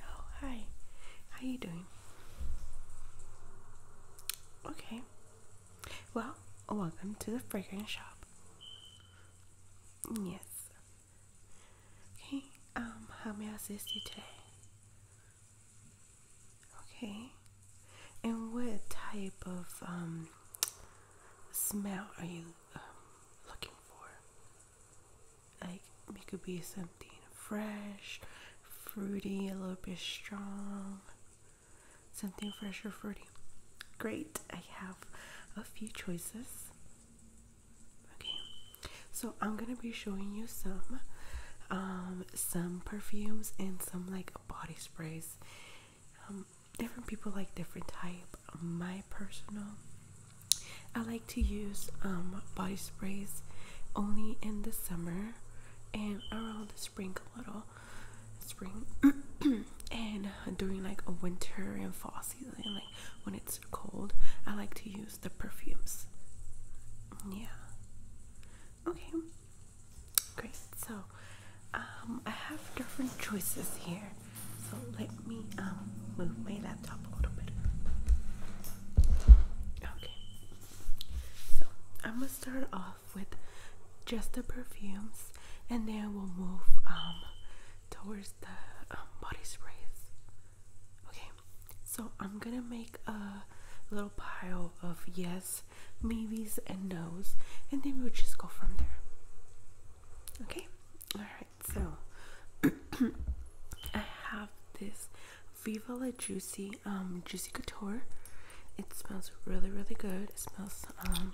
Oh, hi. How you doing? Okay. Well, welcome to the fragrance shop. Yes. Okay, um, how may I assist you today? Okay. And what type of um, smell are you um, looking for? Like it could be something fresh, fruity, a little bit strong. Something fresh or fruity. Great. I have a few choices. Okay. I'm gonna be showing you some um some perfumes and some like body sprays. Um, different people like different type. My personal I like to use um body sprays only in the summer and around the spring a little spring and during like a winter and fall season like when it's cold I like to use the perfumes yeah Okay, great. So um, I have different choices here. So let me um, move my laptop a little bit. Okay, so I'm gonna start off with just the perfumes, and then we'll move um, towards the um, body sprays. Okay, so I'm gonna make a little pile of yes, movies and no's, and then we would just go from there. Okay, all right, so I have this Viva La Juicy, um, Juicy Couture. It smells really, really good. It smells, um,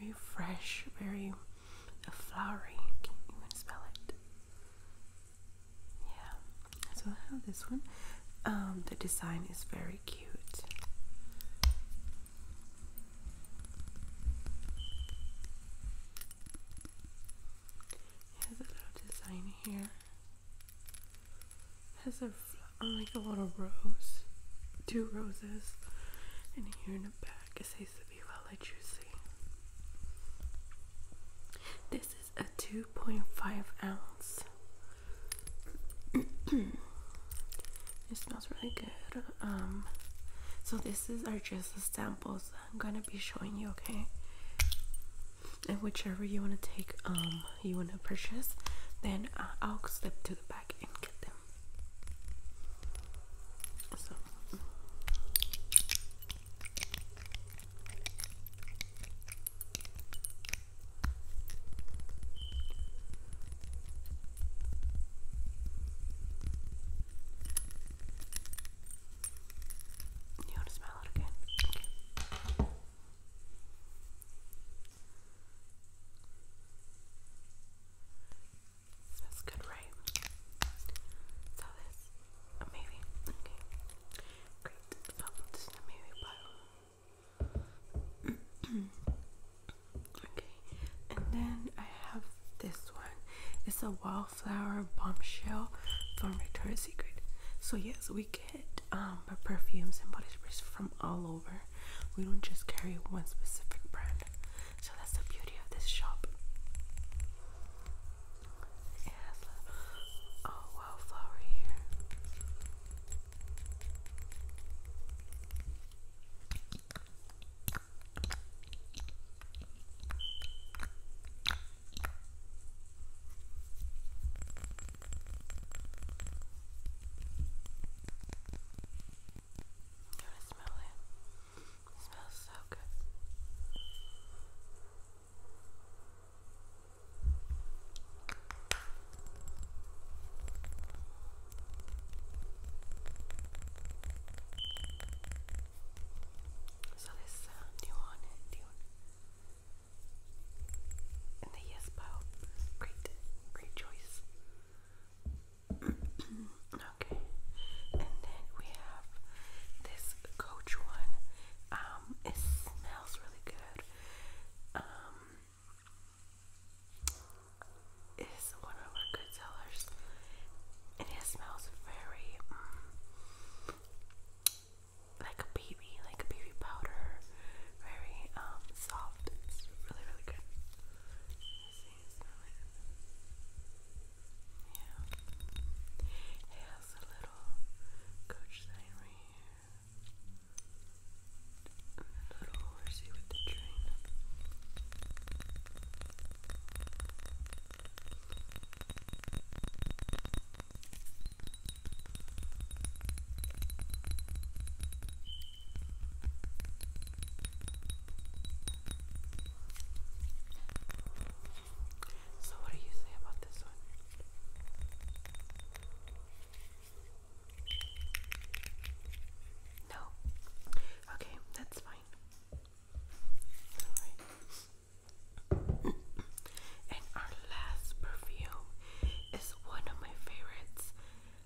very fresh, very flowery. Can you even smell it? Yeah, so I have this one. Um, the design is very cute. It has a little design here. It has a like a little rose, two roses, and here in the back it says to be well choosing. This a 2.5 ounce. it smells really good. Um, so this is our just the samples I'm gonna be showing you, okay? And whichever you wanna take, um, you wanna purchase, then uh, I'll slip to the back and get them. So. You want to smell it again? Okay. good, right? So this a Okay. Great. So this is a movie bottle. okay. And then I have this one. It's a wallflower bombshell from Victoria's Secret. So yes, we get um perfumes and body sprays from all over. We don't just carry one specific brand. So that's the beauty of this shop. It has oh, a wildflower here. You smell It smells so good. So this uh, new And the yes bow. Great, great choice. okay. And then we have this coach one. Um, um, it smells really good. Um, it's one of our good sellers, and it smells very um, like a baby, like a baby powder. Very um soft. It's really really good. Let's see, smell it. Yeah. It has a little coach sign right here. And little horsey with the train. So, what do you say about this one? No. Okay, that's fine. and our last perfume is one of my favorites.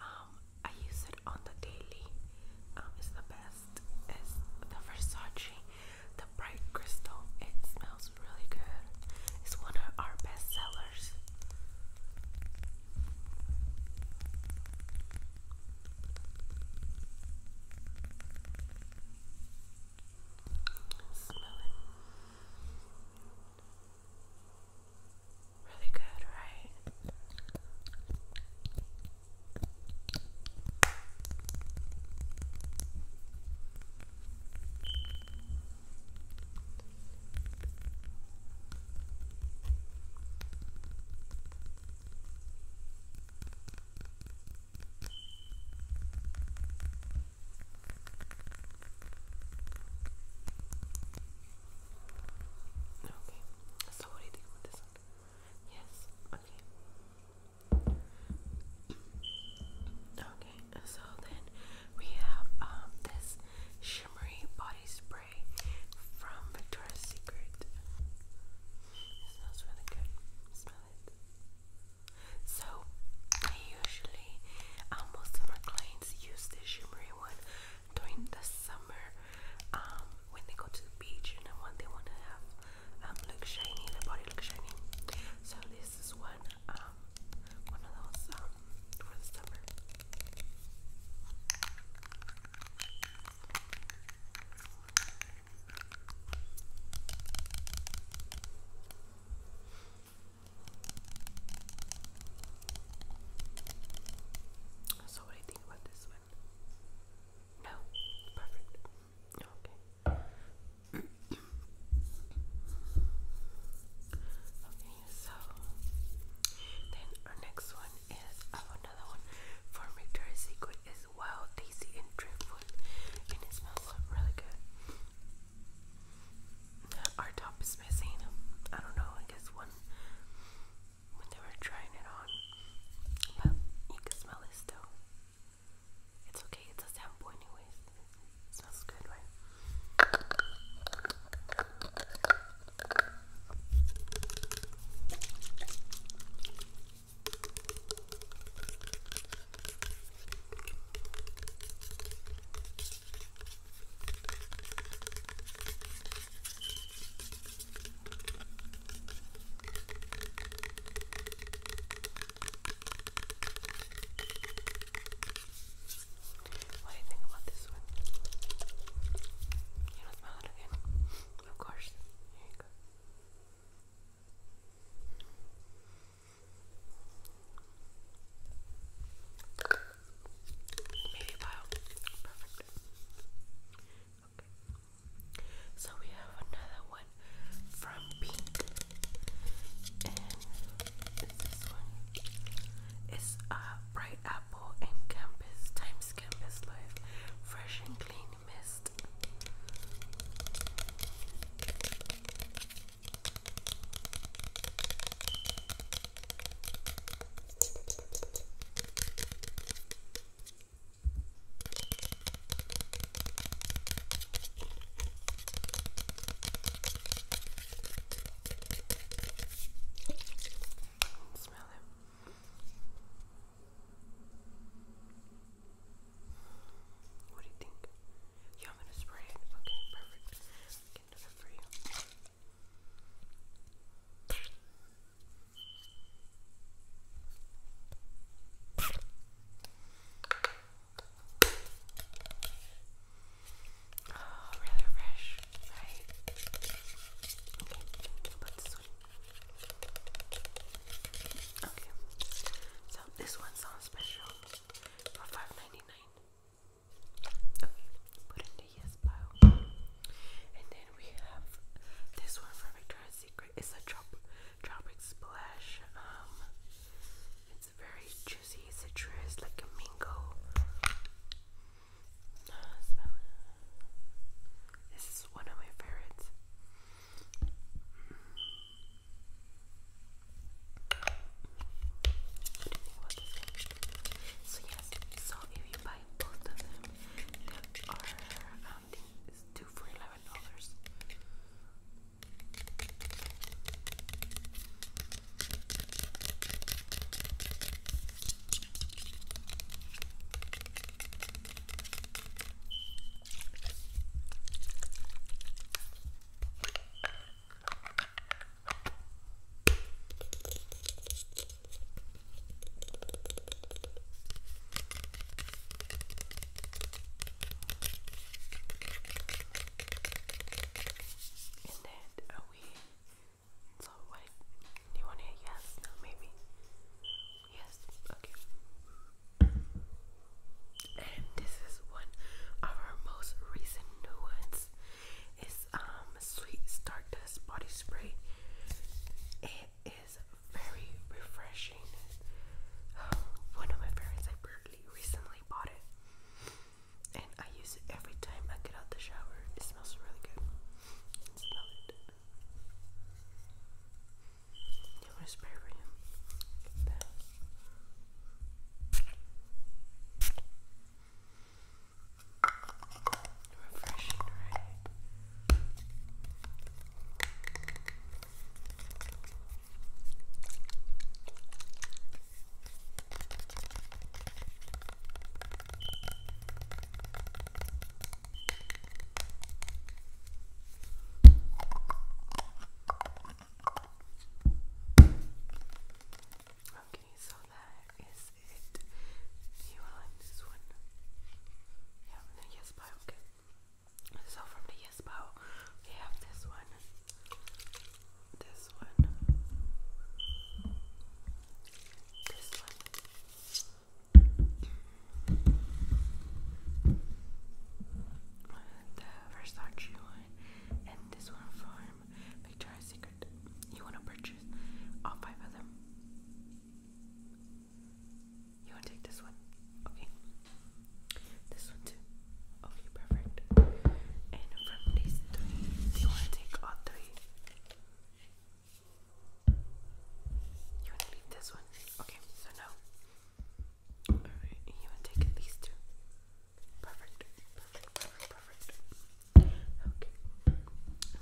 Um, I use it on the daily. Um, it's the best. It's the Versace the bright crystal. It smells really good. It's one of our best sellers. Smell Really good, right? Okay, so what do you think about this one? Yes, okay. Okay, so then we have um, this shimmery body spray from Victoria's Secret. It smells really good. Smell it. So I usually, um, most of my clients use this shimmery one during the summer um, when they go to the beach and you know, they want to have um, look shiny, the body looks shiny. So this is one, um, one of those um, for the summer. So what do you think about this one? No, perfect. Okay. okay, so then our next one is another one for Victoria's Secret is wild, tasty, and driftwood, and it smells really good. Our top is missing. I don't know. I guess one when they were trying it on, but you can smell it still. It's okay, it's a sample anyways. It smells good, right? What do you think about this one? You don't smell it again? Of course. Here you go. Maybe wow. Perfect. Okay. So we have another one from Pink, and this one. It's uh, Bright Apple and Campus times Campus Life, fresh and clean mist. Smell it. What do you think? Yeah, I'm gonna spray it. Okay, perfect. can do that for you. Oh, rather fresh, right? Okay, think about this one. Okay, so this one's on special for five ninety nine. Okay, put in yes pile, and then we have this one for Victoria's Secret. It's a drop Tropic Splash. Um, it's very juicy citrus, like a mango. This is one of my favorites. So yes, so if you buy both of them, they are um, and it's two for eleven dollars. And then are we so what you want to hear No maybe yes okay and this is one of our most recent new ones. It's um sweet stardust body spray. It is very refreshing. Um, one of my friends, I barely recently bought it, and I use it every time I get out the shower. It smells really good. smell it. You want to spray for him? Refreshing, right? Okay, so that is it. You will like this one. Yeah, no, yes, bye, okay. So from the Yes Bow, we have this one, this one, this one, the Versace one, and this one from Victoria's Secret. You want to purchase all five of them? You want to take this one? Okay. This one too. Okay, perfect. And from these do you want to take all three? You want to leave this one? Okay, so no. Alright, you want to take these two? Perfect. Perfect, perfect, perfect. Okay.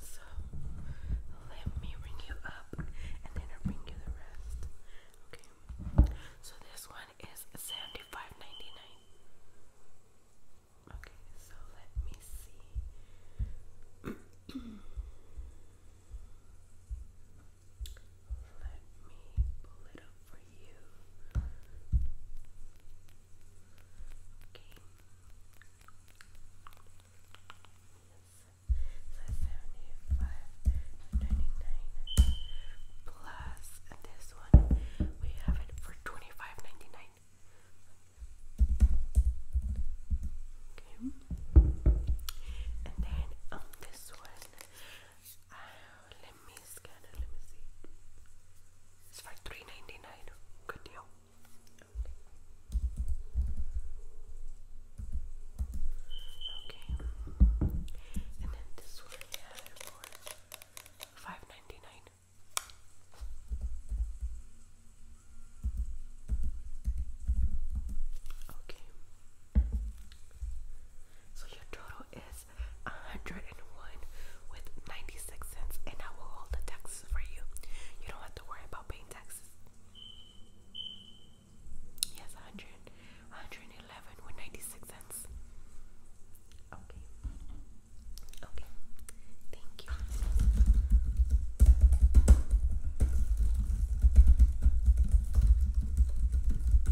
So, let me ring you up up and then I'll bring you the rest. Okay. So this one is 75 Okay, so let me see. Let me pull it up for you. Okay. 5 dollars plus this one we have it for 25 okay and then on this one let me scan it let me see it's for 3 good deal Okay. And then this one five ninety nine. Okay. So your total is a hundred and one with ninety six cents, and I will hold the taxes for you. You don't have to worry about paying taxes. Yes, 100, 111 with 96 cents. Okay. Okay. Thank you.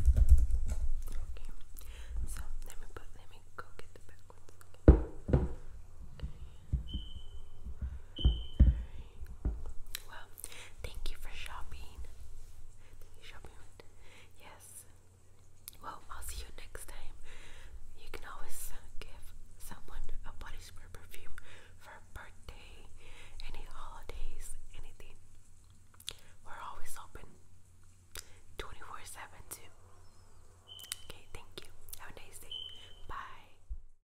Okay. So, let me put let me go get the back one. okay. Well, thank you for shopping. Thank you shopping. Yes. Well, I'll see you next time. You can always uh, give someone a body spray perfume for a birthday, any holidays, anything. We're always open 24 7 too. Okay, thank you. Have a nice day. Bye.